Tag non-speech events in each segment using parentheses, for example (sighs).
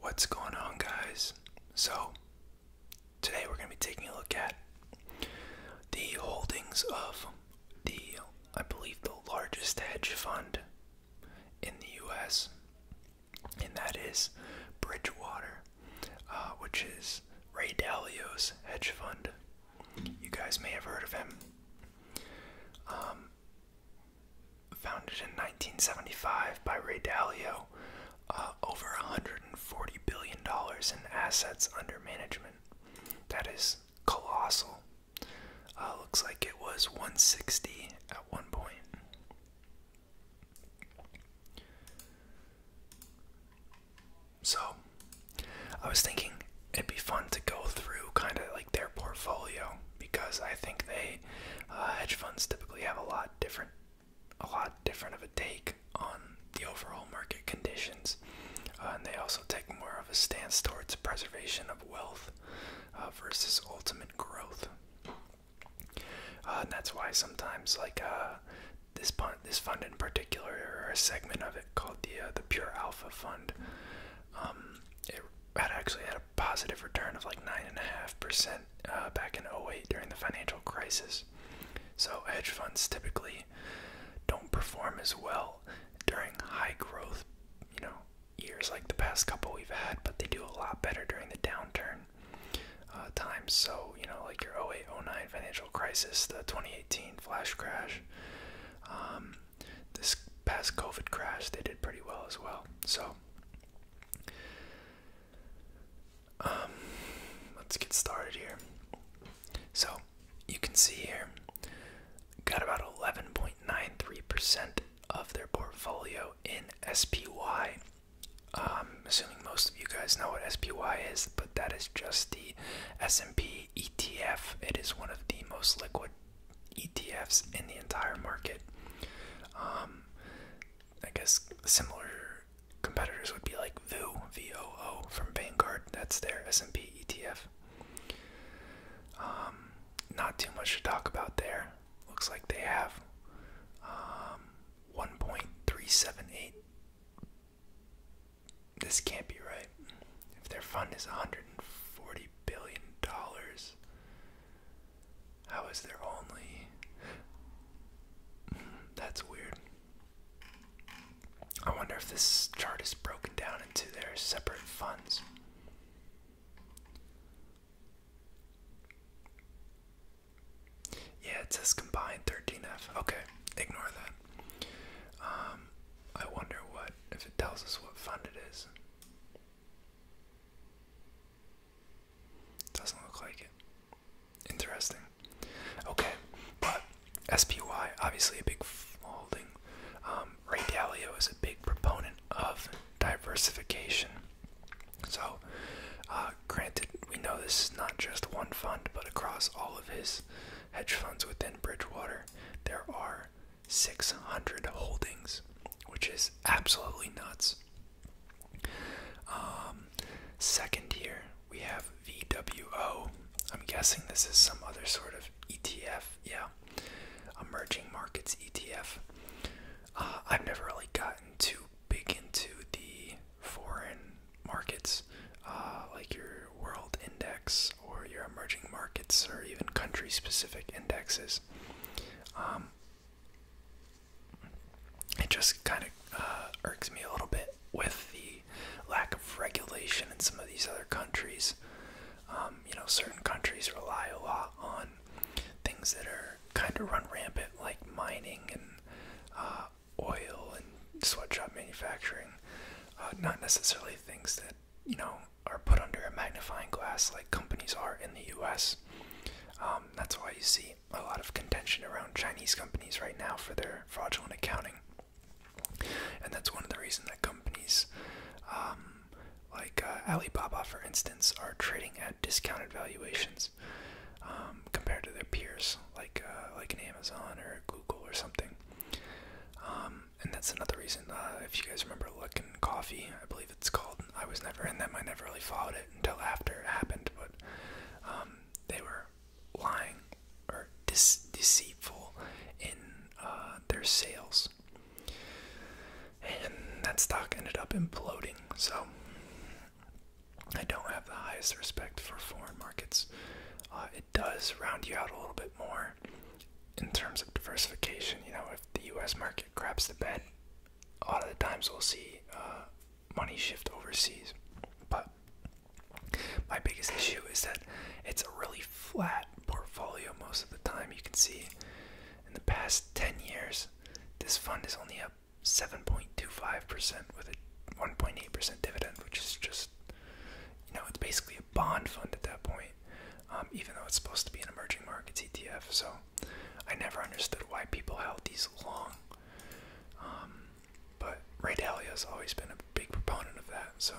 What's going on, guys? So, today we're going to be taking a look at the holdings of the, I believe, the largest hedge fund in the US, and that is Bridgewater, uh, which is Ray Dalio's hedge fund. You guys may have heard of him. Um, founded in 1975 by Ray Dalio, uh, over 140 billion dollars in assets under management. That is colossal. Uh, looks like it was 160 at one point. So, I was thinking it'd be fun to go through kind of like their portfolio because I think they uh, hedge funds typically have a lot different, a lot different of a take on the overall market conditions, uh, and they also take more of a stance towards preservation of wealth uh, versus ultimate growth. and that's why sometimes like this fund, this fund in particular, or a segment of it called the the Pure Alpha Fund, um, it had actually positive return of like 9.5% uh, back in 08 during the financial crisis. So, hedge funds typically don't perform as well during high growth, you know, years like the past couple we've had, but they do a lot better during the downturn uh, times. So, you know, like your 08 09 financial crisis, the 2018 flash crash. Um, this past COVID crash, they did pretty well as well. So, um, let's get started here. So, you can see here, got about 11.93% of their portfolio in SPY. Um, assuming most of you guys know what SPY is, but that is just the S&P ETF. It is one of the most liquid ETFs in the entire market. Um, I guess similar competitors would be like VOO, V-O-O from Vanguard. That's their S&P ETF. Um, not too much to talk about there. Looks like they have um, 1.378. This can't be right. If their fund is 140 billion dollars. How is there only (sighs) That's weird. I wonder if this chart is broken down into their separate funds. Yeah, it says combined 13F. Okay, ignore that. Um, I wonder what if it tells us what fund it is. Doesn't look like it. Interesting. Okay, but SPY, obviously a big holding. Um, Ray Dalio is a big proponent of diversification. So, uh, granted, we know this is not just one fund, but across all of his hedge funds within Bridgewater, there are 600 holdings, which is absolutely nuts. Um, second here, we have VWO. I'm guessing this is some other sort of ETF. Yeah, emerging markets ETF. Uh, I've never really gotten too big into the foreign markets, uh, like your world index or your emerging markets or even country specific indexes. Um, it just kind of uh, irks me a little bit with the lack of regulation in some of these other countries. Um, you know, certain countries rely a lot on things that are kind of run rampant, like mining and uh, oil and sweatshop manufacturing. Uh, not necessarily things that you know, are put under a magnifying glass like companies are in the US. Um, that's why you see a lot of contention around Chinese companies right now for their fraudulent accounting. And that's one of the reasons that companies um, like uh, Alibaba, for instance, are trading at discounted valuations um, compared to their peers, like uh, like an Amazon or Google or something and that's another reason. Uh, if you guys remember Look Coffee, I believe it's called. I was never in them. I never really followed it until after it happened. But um, they were lying or deceitful in uh, their sales, and that stock ended up imploding. So I don't have the highest respect for foreign markets. Uh, it does round you out a little bit more in terms of diversification. You know, if the U.S. market craps the bed, a lot of the times we'll see uh, money shift overseas. But my biggest issue is that it's a really flat portfolio most of the time. You can see in the past 10 years, this fund is only up 7.25% with a 1.8% dividend, which is just, you know, it's basically a bond fund at that point. Um, even though it's supposed to be an emerging markets ETF. So I never understood why people held these long. Um, but Ray Dalio has always been a big proponent of that. So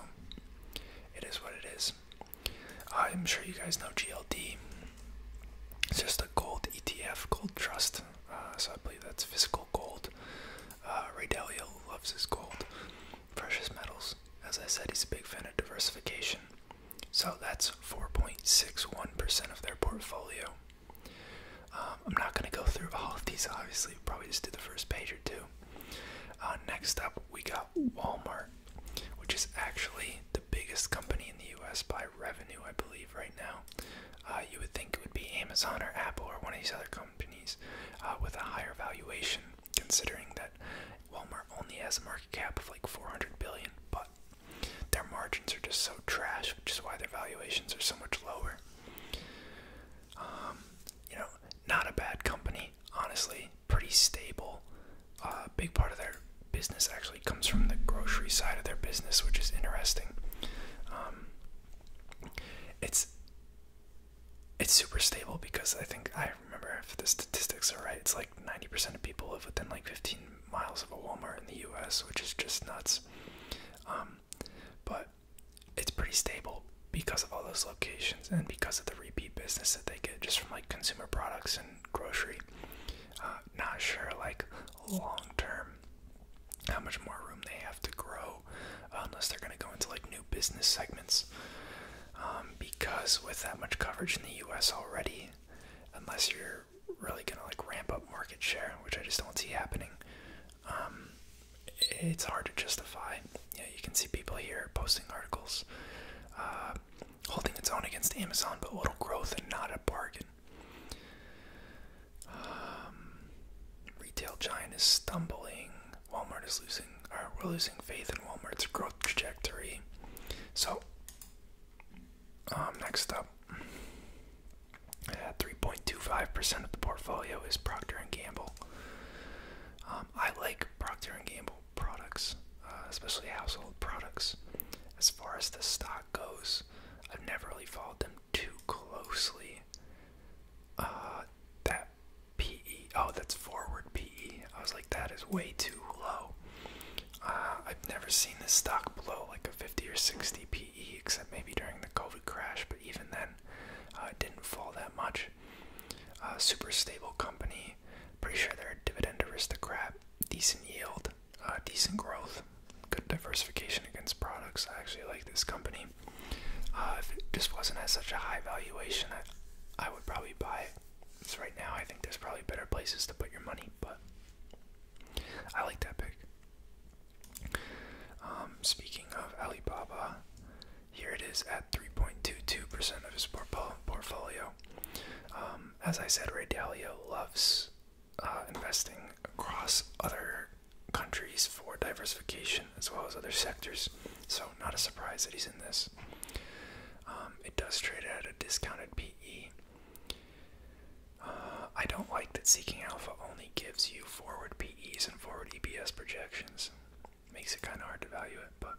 it is what it is. I'm sure you guys know GLD. It's just a gold ETF, gold trust. Uh, so I believe that's physical gold. Uh, Ray Dalio loves his gold precious metals. As I said, he's a big fan of diversification. So that's 4.61% of their portfolio. Um, I'm not going to go through all of these, obviously. Probably just do the first page or two. Uh, next up, we got Walmart, which is actually the biggest company in the US by revenue, I believe, right now. Uh, you would think it would be Amazon or Apple or one of these other companies uh, with a higher valuation considering that Walmart only has a market cap of like 400 billion, but their margins are just so trash, which is why their valuations are so much lower. Um, you know, not a bad company, honestly, pretty stable. A uh, big part of their business actually comes from the grocery side of their business, which is interesting. Um, it's it's super stable because I think I remember if the statistics are right. It's like 90% of people live within like 15 miles of a Walmart in the U.S., which is just nuts. Um, but it's pretty stable because of all those locations and because of the repeat business that they get just from like consumer products and grocery. Uh, not sure like long term how much more room they have to grow unless they're going to go into like business segments um, because with that much coverage in the US already, unless you're really going to like ramp up market share, which I just don't see happening, um, it's hard to justify. Yeah, you can see people here posting articles uh, holding its own against Amazon, but little growth and not a bargain. Um, retail giant is stumbling. Walmart is losing, or we're losing faith in Walmart's growth trajectory. So, um, next up, 3.25% of the portfolio is Procter and Gamble. Um, I like Procter and Gamble products, uh, especially household products. As far as the stock goes, I've never really followed them too closely. Uh, that PE. Oh, that's forward PE. I was like, that is way too low. Uh, I've never seen this stock below like a 50 or 60 PE, except maybe during the COVID crash, but even then, uh, it didn't fall that much. Uh, super stable company. Pretty sure they're a dividend aristocrat. Decent yield, decent growth, good diversification against products. I actually like this company. if it just wasn't at such a high valuation, I, I would probably buy it. So right now, I think there's probably better places to put your money, but I like that pick. Um, speaking of Alibaba, here it is at 3.22% of his portfolio. Um, as I said, Ray Dalio loves uh, investing across other countries for diversification as well as other sectors, so not a surprise that he's in this. Um, it does trade at a discounted PE. Uh, I don't like that Seeking Alpha only gives you forward PEs and forward EPS projections. Makes it kind of hard to value it, but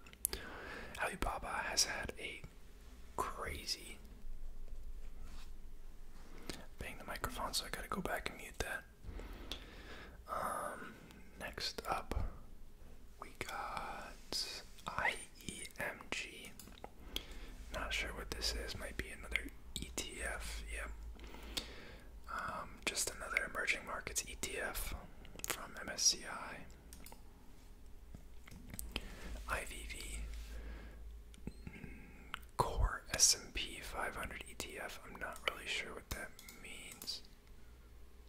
Alibaba has had a crazy. Bang the microphone, so I gotta go back and mute that. Um, next up, we got IEMG. Not sure what this is. Might be another ETF. Yep. Um, just another emerging markets ETF from MSCI. IVV Core S&P 500 ETF. I'm not really sure what that means.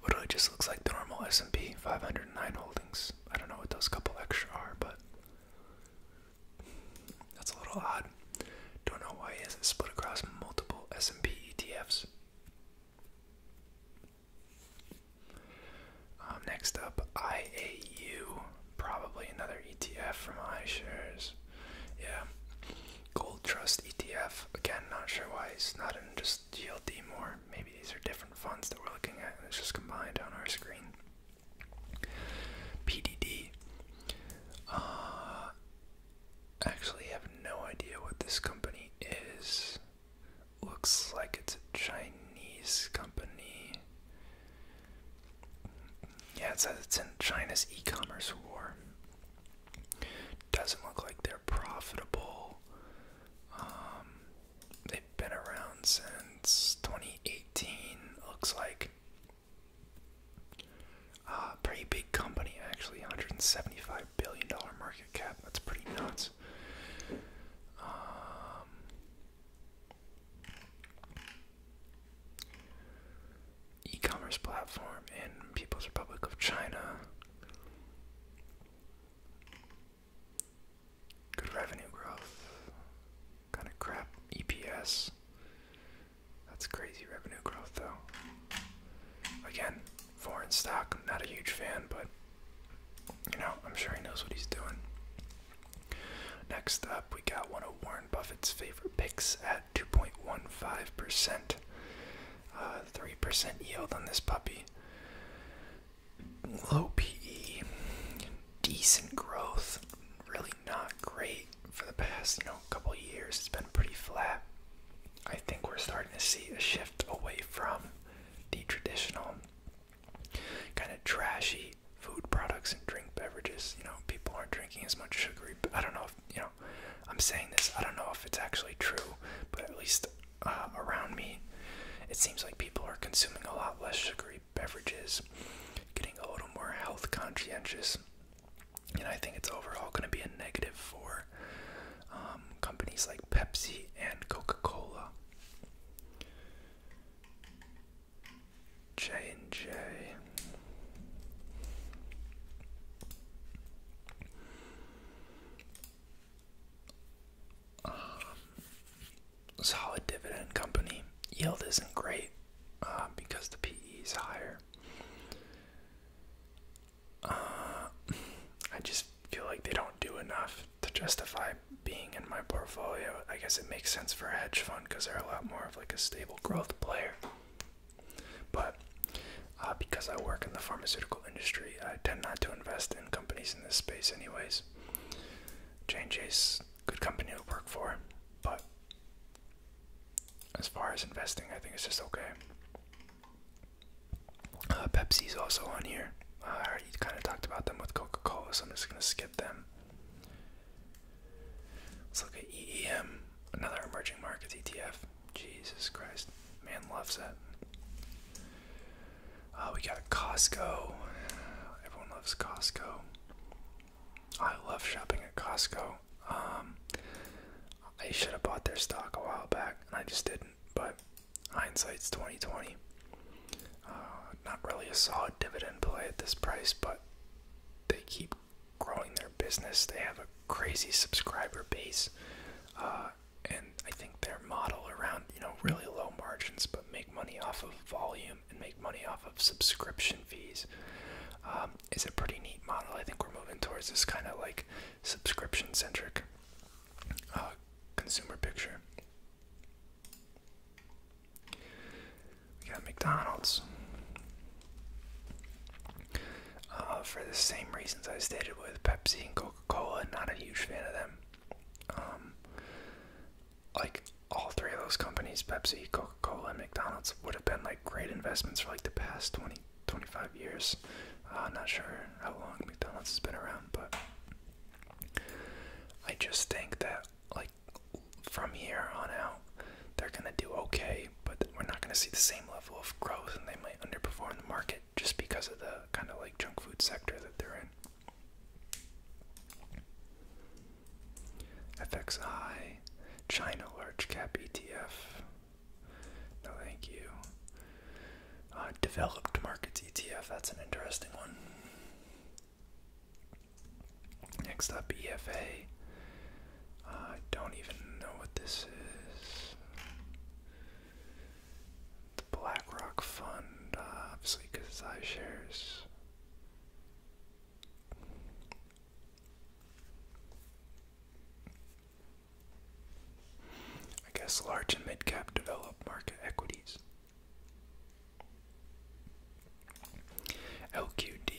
What It just looks like the normal S&P 509 holdings. I don't know what those couple extra are, but that's a little odd. Don't know why it is split across multiple S&P ETFs. Um, next up, IAU, probably another ETF from iShares. Yeah, Gold Trust ETF. Again, not sure why it's not in just GLD more maybe these are different funds that we're looking at and it's just combined on our screen. PDD. Uh, actually have no idea what this company is. Looks like it's a Chinese company. Yeah, it says it's in China's e-commerce war. Doesn't look like they're profitable. Um, They've been around since 2018, looks like. a uh, pretty big company, actually. $175 billion market cap. That's pretty nuts. Um, e commerce platform in People's Republic of China. Good revenue growth. Kind of crap EPS. That's crazy revenue growth, though. Again, foreign stock, I'm not a huge fan, but you know, I'm sure he knows what he's doing. Next up, we got one of Warren Buffett's favorite picks at 2.15%. 3% uh, yield on this puppy low PE, decent growth, really not great for the past you know couple years. It's been pretty flat. I think we're starting to see a shift away from the traditional kind of trashy food products and drink beverages. You know, people aren't drinking as much sugary. I don't know if you know. I'm saying this. I don't know if it's actually true, but at least um, around me, it seems like people are consuming a lot less sugary beverages, getting a little more health conscientious. And I think it's overall going to be a negative for um, companies like Pepsi and Coca Cola. J and J um, solid dividend company. Yield isn't great uh, because the PE is higher. Uh, I just feel like they don't do enough to justify being in my portfolio. I guess it makes sense for a hedge fund because they're a lot more of like a stable growth player. But uh, because I work in the pharmaceutical industry. I tend not to invest in companies in this space, anyways. j and good company to work for, but as far as investing, I think it's just okay. Uh, Pepsi's also on here. Uh, I already kind of talked about them with Coca-Cola, so I'm just gonna skip them. Let's look at EEM, another emerging markets ETF. Jesus Christ, man loves that. Uh, we got Costco. Everyone loves Costco. I love shopping at Costco. Um, I should have bought their stock a while back, and I just didn't. But hindsight's 2020. Uh, not really a solid dividend play at this price, but they keep growing their business. They have a crazy subscriber base, uh, and I think their model around, you know, really low margins but make money off of volume and make money off of subscription fees um, is a pretty neat model. I think we're moving towards this kind of like subscription centric uh, consumer picture. We got McDonald's. Uh, for the same reasons I stated with Pepsi and Coca Coca-Cola, not a huge fan of them. Um, like all three of those companies, Pepsi, Coca-Cola, and McDonald's, would have been like great investments for like the past 20, 25 years. Uh, not sure how long McDonald's has been around, but I just think that like from here on out, they're gonna do okay, but we're not gonna see the same level of growth, and they might underperform the market just because of the kind of like junk food sector that they're in. FXI, China Large Cap ETF. No, thank you. Uh, developed Markets ETF, that's an interesting one. Next up, EFA. I don't even know what this is the BlackRock fund, uh, obviously, because iShares. I guess large and mid cap developed market equities. LQD.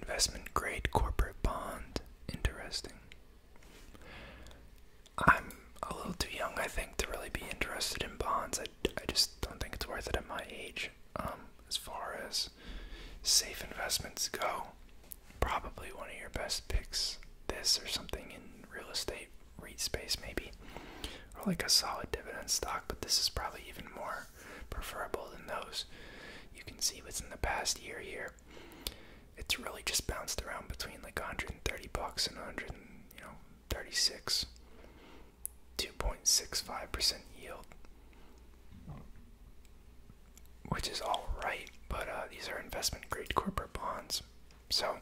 Investment grade corporate bond. Interesting. I'm a little too young, I think, to really be interested in bonds. I, I just don't think it's worth it at my age. Um, as far as safe investments go, probably one of your best picks this or something in real estate REIT space, maybe, or like a solid dividend stock. But this is probably even more preferable than those. You can see what's in the past year here. It's really just bounced around between like 130 bucks and 136, you 2.65% yield, which is all right, but uh, these are investment grade corporate bonds, so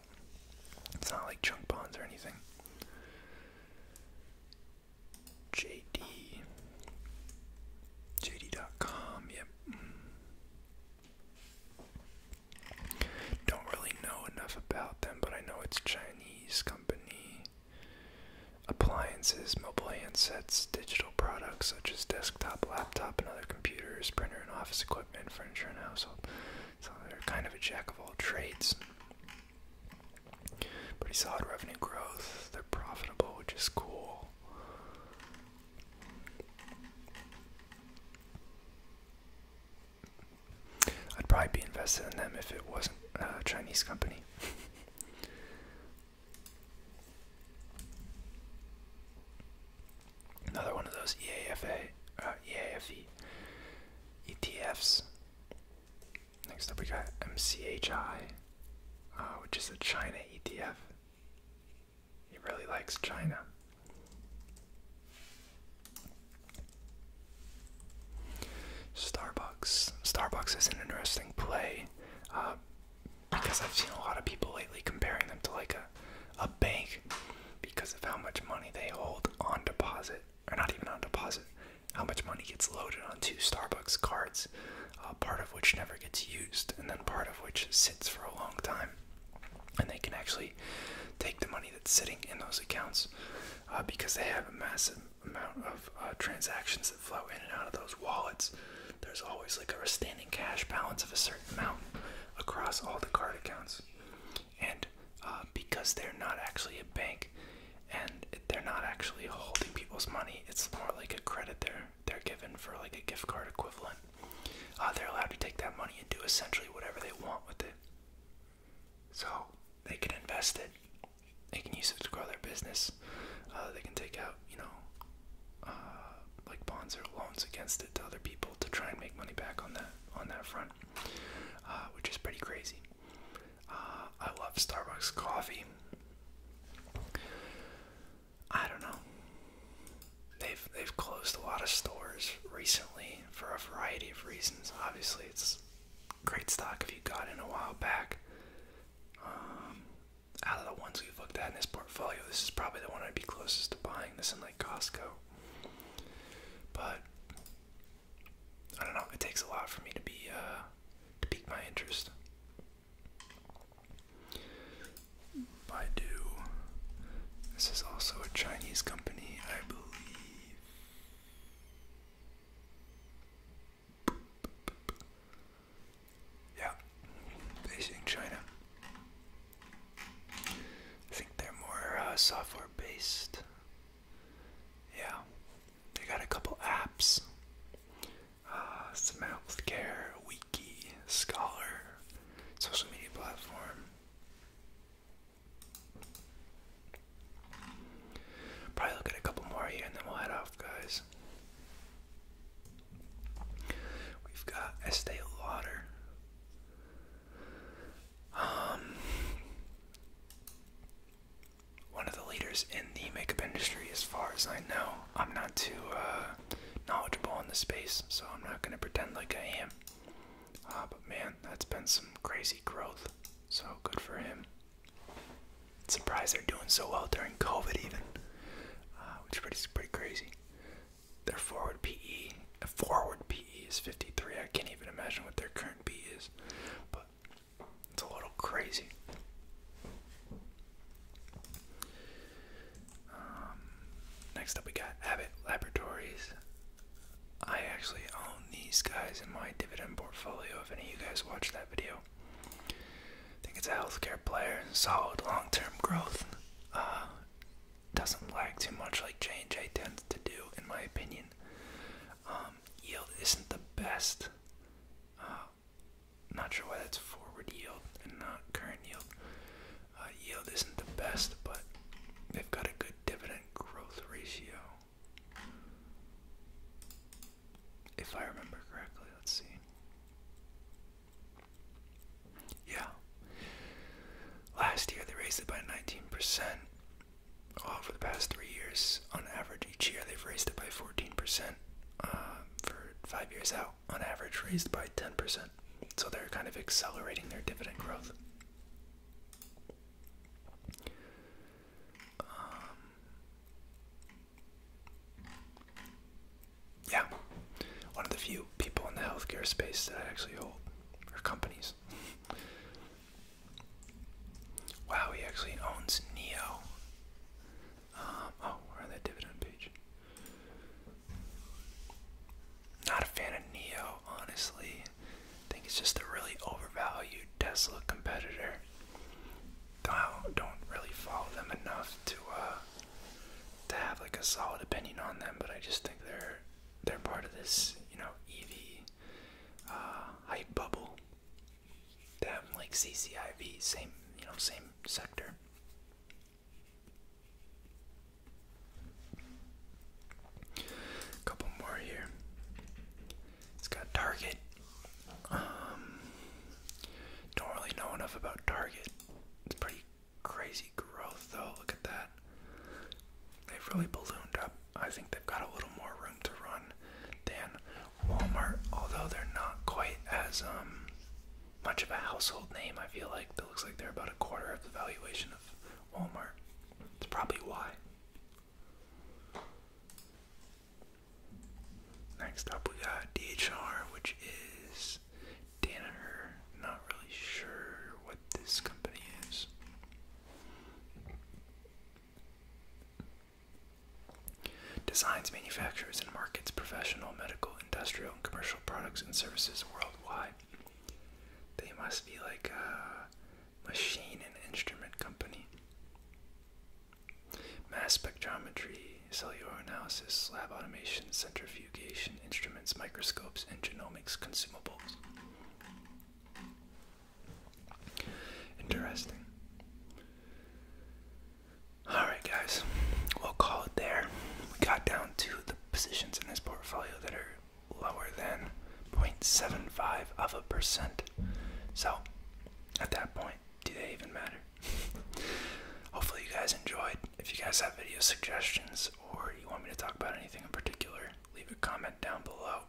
it's not like junk bonds or anything. JD, JD.com, yeah, don't really know enough about them, but I know it's Chinese company. Appliances, mobile handsets, digital products such as desktop, laptop, and other computers, printer and office equipment, furniture and household. So they're kind of a jack of all trades. Pretty solid revenue growth. They're profitable, which is cool. I'd probably be invested in them if it wasn't a Chinese company. Another one of those EAFA, uh, EAFE ETFs. Next up, we got MCHI, uh, which is a China ETF. He really likes China. Starbucks. Starbucks is an interesting play uh, because I've seen a lot of people lately comparing them to like a, a bank because of how much money they hold on deposit, or not even on deposit, how much money gets loaded on two Starbucks cards. Uh, part of which never gets used, and then part of which sits for a long time. And they can actually take the money that's sitting in those accounts uh, because they have a massive amount of uh, transactions that flow in and out of those wallets. There's always like a standing cash balance of a certain amount across all the card accounts. And because they're not actually a bank and they're not actually holding people's money, it's more like a credit there they're given for like a gift card equivalent. Uh, they're allowed to take that money and do essentially whatever they want with it. So they can invest it. They can use it to grow their business. Uh, they can take out, you know, uh, like bonds or loans against it to other people to try and make money back on that on that front, which is pretty crazy. I love Starbucks coffee. I don't know. They've they've closed a lot of stores recently for a variety of reasons. Obviously, it's great stock if you got in a while back. Um, out of the ones we've looked at in this portfolio, this is probably the one I'd be closest to buying. This in like Costco, but I don't know. It takes a lot for me to be uh, to pique my interest. Baidu. This is also a Chinese company, I believe. Yeah, Beijing, China. I think they're more uh, software based. Yeah, they got a couple apps. Uh, some healthcare, we Scholar social media platform. Probably look at a couple more here and then we'll head off, guys. We've got Estee Lauder. Um, one of the leaders in the makeup industry, as far as I know. I'm not too uh, knowledgeable in the space, so I'm not gonna pretend like I am. Uh, but man, that's been some crazy growth. So good for him. Surprised they're doing so well during COVID, even, uh, which is pretty pretty crazy. Their forward PE, forward PE is 53. I can't even imagine what their current PE is, but it's a little crazy. Um, next up, we got Abbott Laboratories. I actually own these guys in my dividend portfolio. If any of you guys watched that video, I think it's a healthcare player, solid long-term growth. Uh, doesn't lag too much like J&J tends to do, in my opinion. Um, yield isn't the best. Uh, not sure why that's forward yield and not current yield. Uh, yield isn't the best, but they've got a good dividend growth ratio. If I remember correctly, let's see. Yeah. Last year they raised it by 19%. over the past three years, on average, each year they've raised it by 14% uh, for five years out on average raised by 10%. So they're kind of accelerating their dividend growth. Um, yeah, one of the few people in the healthcare space that actually hold are companies. wow, he actually owns Neo. Um, oh, on that dividend page. Not a fan of Neo, honestly. I think it's just a really overvalued Tesla competitor. Don't, don't really follow them enough to uh, to have like a solid opinion on them, but I just think they're they're part of this you know EV uh, hype bubble them like CCIV, same you know, same sector. Couple more here. It's got Target. Um, don't really know enough about Target. It's pretty crazy growth though. Look at that. They've really ballooned up. I think they've got a little more room to run than Walmart, although they're not quite as um, much of a household name, I feel like that looks like they're about a quarter of the valuation of Walmart. It's probably why. Next up, we got DHR, which is Danaher. Not really sure what this company is. Designs, manufactures, and markets professional, medical, industrial, and commercial products and services worldwide. They must be like a machine and instrument company. Mass spectrometry, cellular analysis, lab automation, centrifugation, instruments, microscopes, and genomics consumables. Interesting. Alright, guys, we'll call it there. We got down to the positions in this portfolio that are lower than 0.75 of a percent. So, at that point, do they even matter? (laughs) Hopefully, you guys enjoyed. If you guys have video suggestions or you want me to talk about anything in particular, leave a comment down below.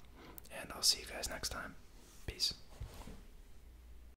And I'll see you guys next time. Peace.